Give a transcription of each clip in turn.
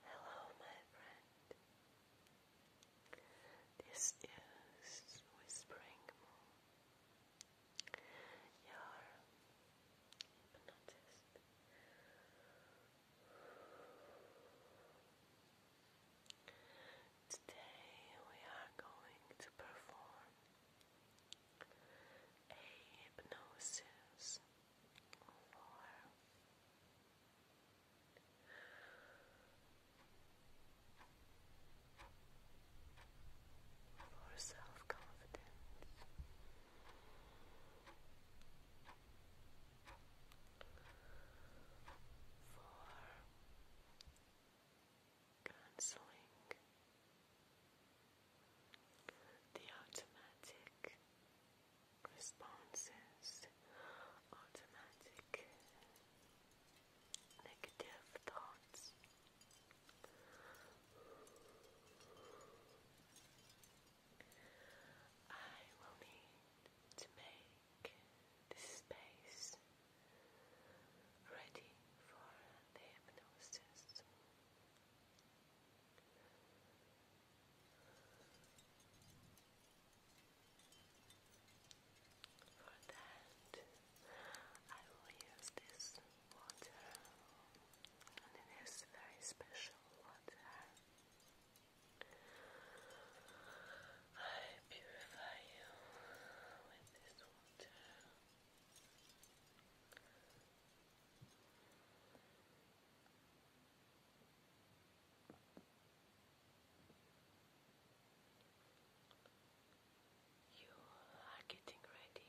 Hello, my friend. This is Whispering Moon, your hypnotist. Today we are going to perform a hypnosis four, for self-confidence. For cancelling the automatic responses, automatic negative thoughts. I will need to make this space ready for the hypnosis. For that, I will use this water, and it is very special water. I purify you with this water. You are getting ready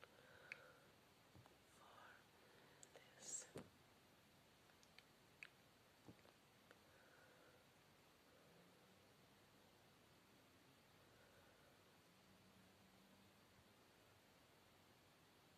for this.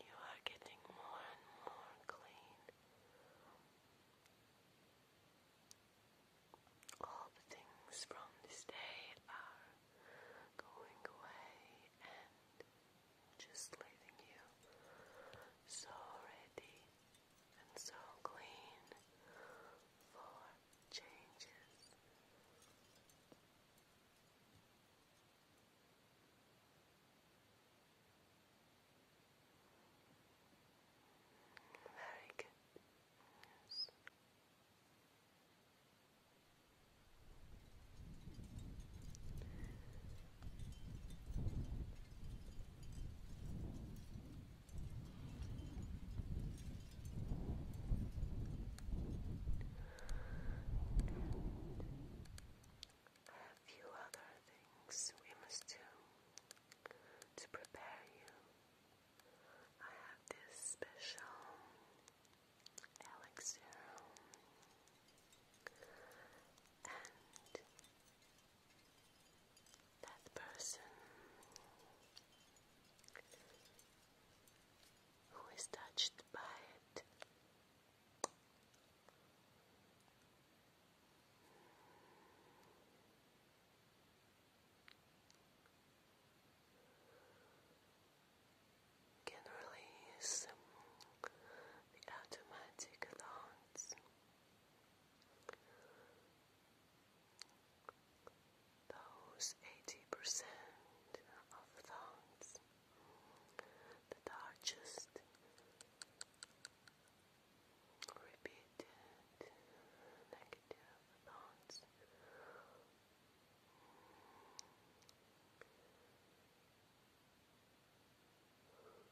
You are getting more and more clean. All the things from this day are going away and just leaving you so ready and so clean for changes. Very good. Yes a few other things we must do to prepare you. I have this special elixir and that person who is touched by it can release the automatic thoughts, those eighty percent of thoughts that are repeated negative thoughts. Very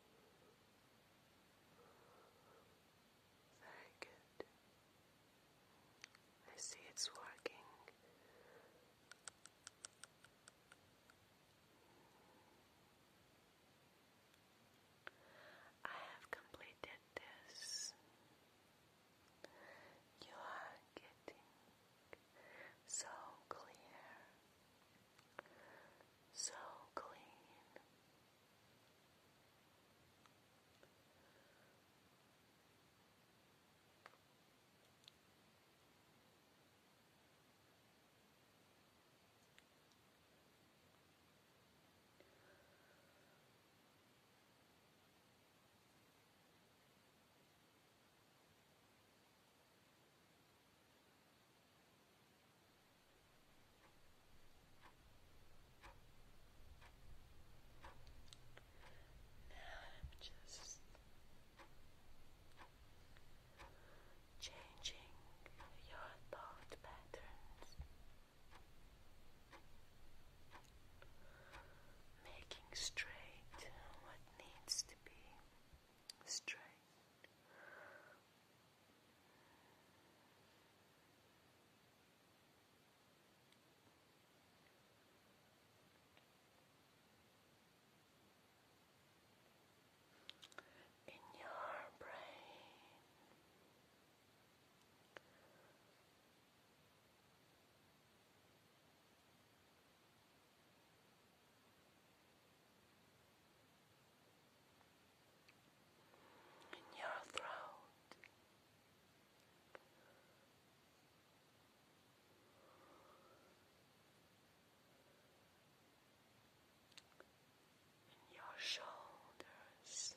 good. I see it's working. I have completed this. You are getting so clear, so clean. Now I'm just changing your thought patterns, making straight what needs to be straight in your brain. In your throat, in your shoulders.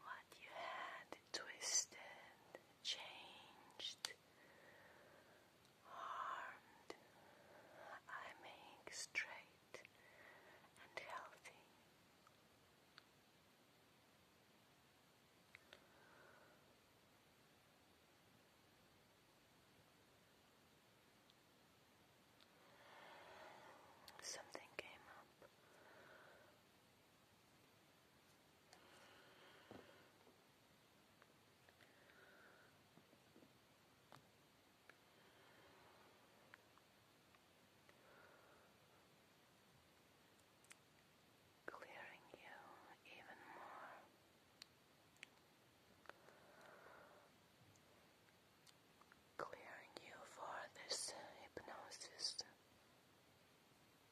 What you had twisted, changed, harmed, I make straight and healthy. Something came up Clearing you even more. Clearing you for this hypnosis.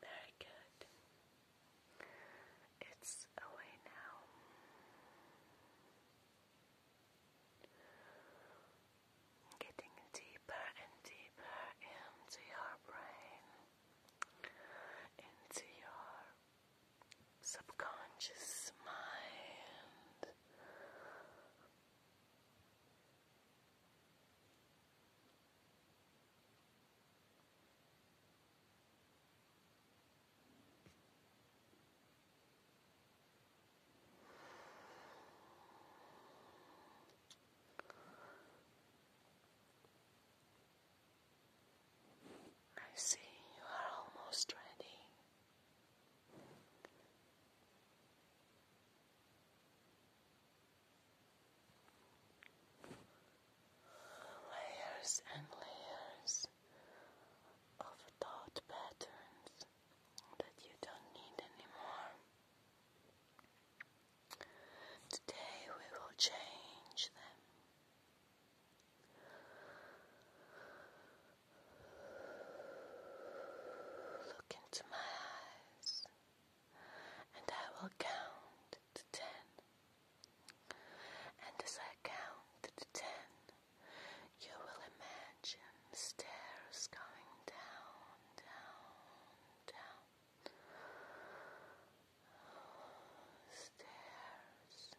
Very good. It's away now. Getting deeper and deeper into your brain, into your subconscious mind. I see you are almost ready. Layers and layers of thought patterns that you don't need anymore. Today we will change them. Look into my eyes and I will count to ten. And as I count to ten, you will imagine stairs going down, down, down. Oh, stairs.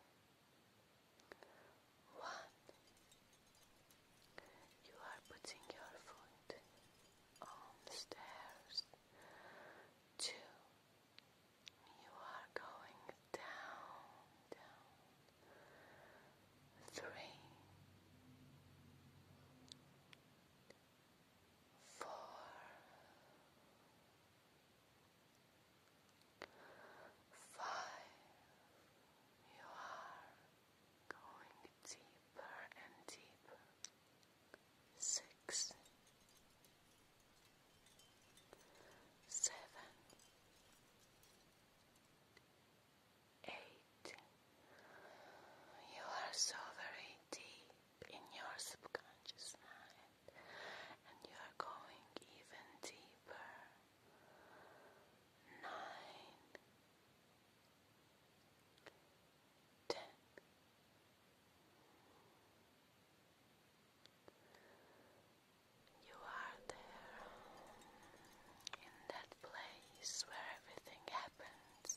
One, you are putting your foot on the stairs. Two, you are going down, down. Three, four, five, you are going deeper and deeper. Six, seven, eight. You are so very deep in your subconscious mind, and you are going even deeper nine, ten, you are there in that place where everything happens.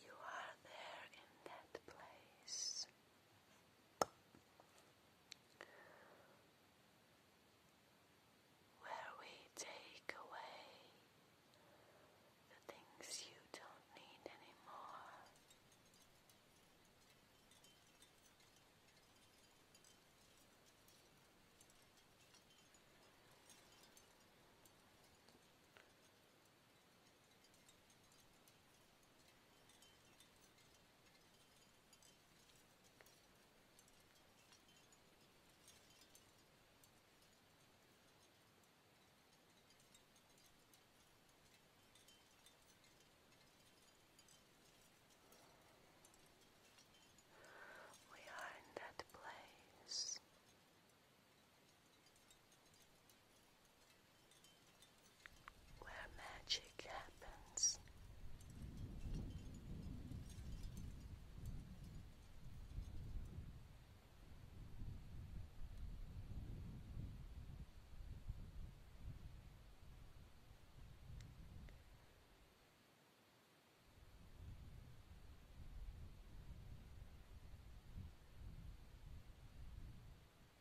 You are there in that place where we take away the things you don't need anymore. We are in that place where magic happens.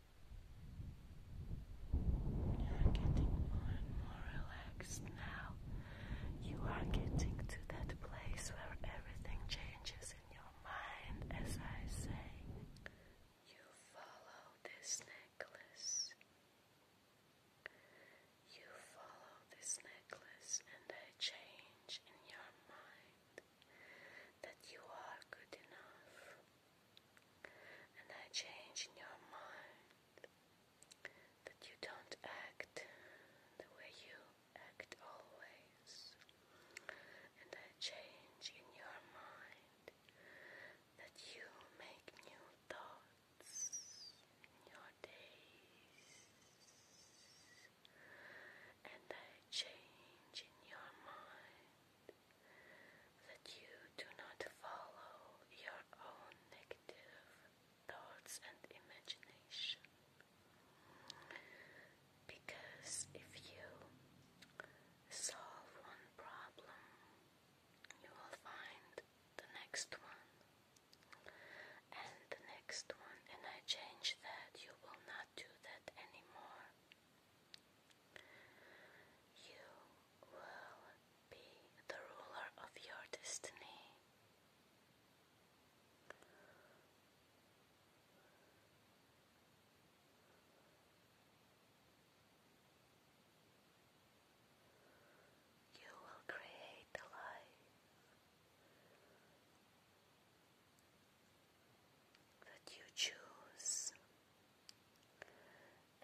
You're getting more and more relaxed now. You are getting to that place where everything changes in your mind, as I say. You follow this necklace. You follow this necklace, and a change in your mind that you are good enough and I change in your mind that you don't act the way you act always, and I change in your mind that you make new thoughts in your days, and I change in your mind that you do not follow your own negative thoughts and imagination. Because if you solve one problem, you will find the next one and the next one, and I change that. You will not do that anymore. You will be the ruler of your destiny. You will create a life that you choose and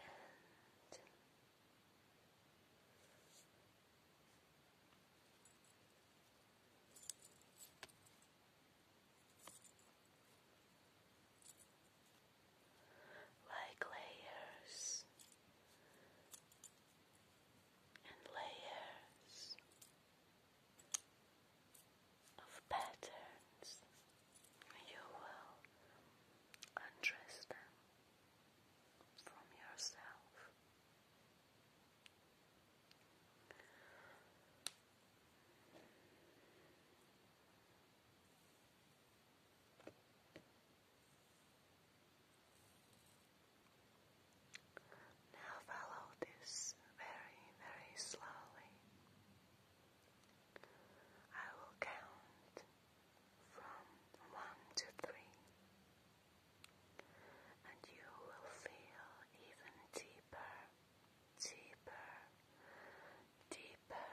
like layers and layers of patterns you will undress them from yourself. Now follow this very, very slowly. I will count from one to three, and you will feel even deeper, deeper, deeper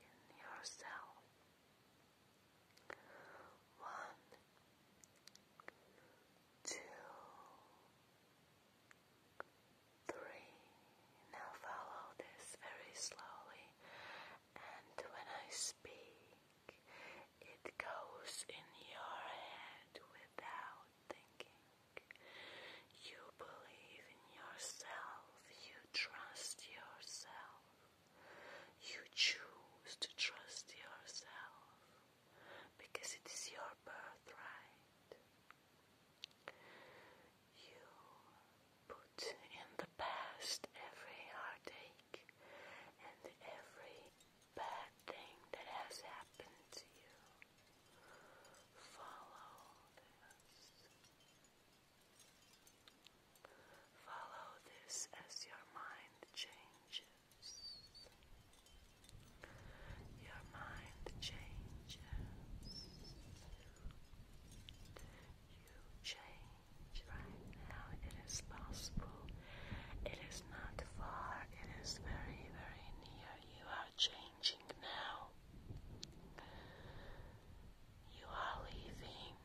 in yourself. One, two, three. Now follow this very slowly, and when I speak, it goes in your head without thinking. You believe in yourself, you trust yourself, you choose to trust yourself because it is your birthright. You put in the past every heartache and every bad thing that has happened to you. Follow this. Follow this as your mind changes. Your mind changes you change right now. It is possible. It is not far. It is very, very near. You are changing now. You are leaving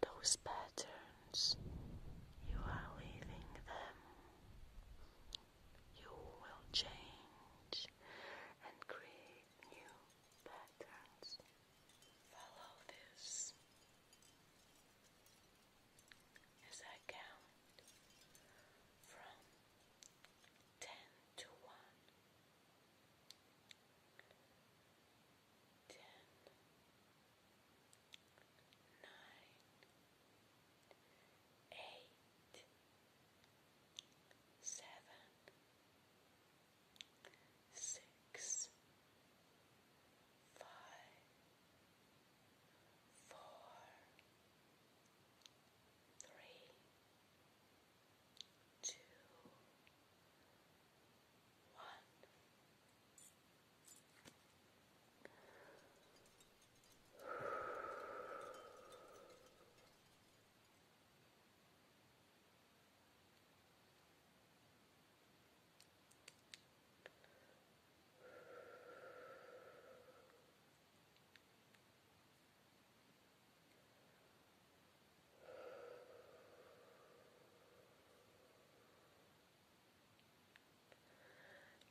those patterns. You are leaving them. You will change brush and create new patterns. Follow this as I count from ten to one. Ten, nine, eight seven, six, five, four, three, two, one.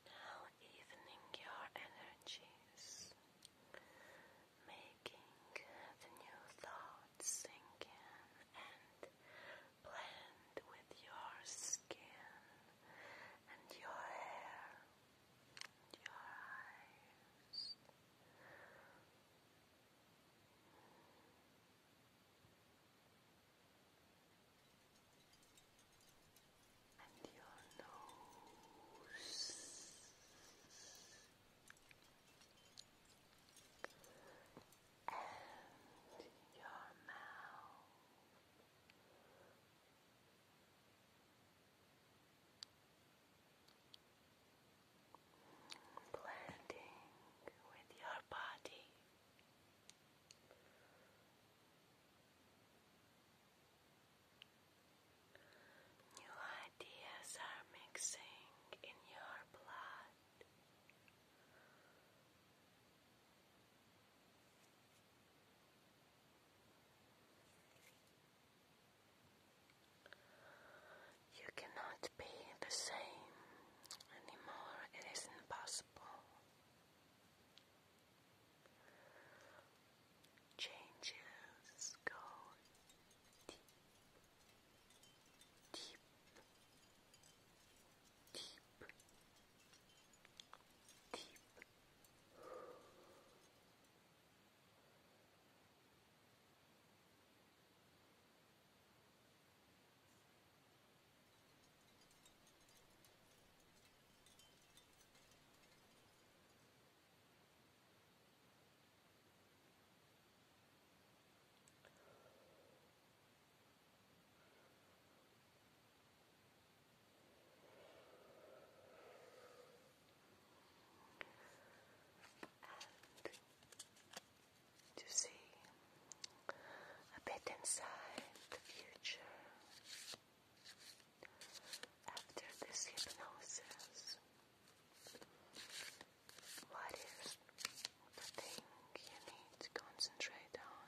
Now evening your energies making the new thoughts sink in and blend with your skin and your hair and your eyes and your nose and your mouth. Blending with your body. New ideas are mixing in your blood. You cannot be the same anymore, it isn't possible. Changes go deep, deep, deep, deep. And to see a bit inside the future. After this hypnosis, what is the thing you need to concentrate on?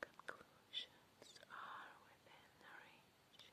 Conclusions are within range.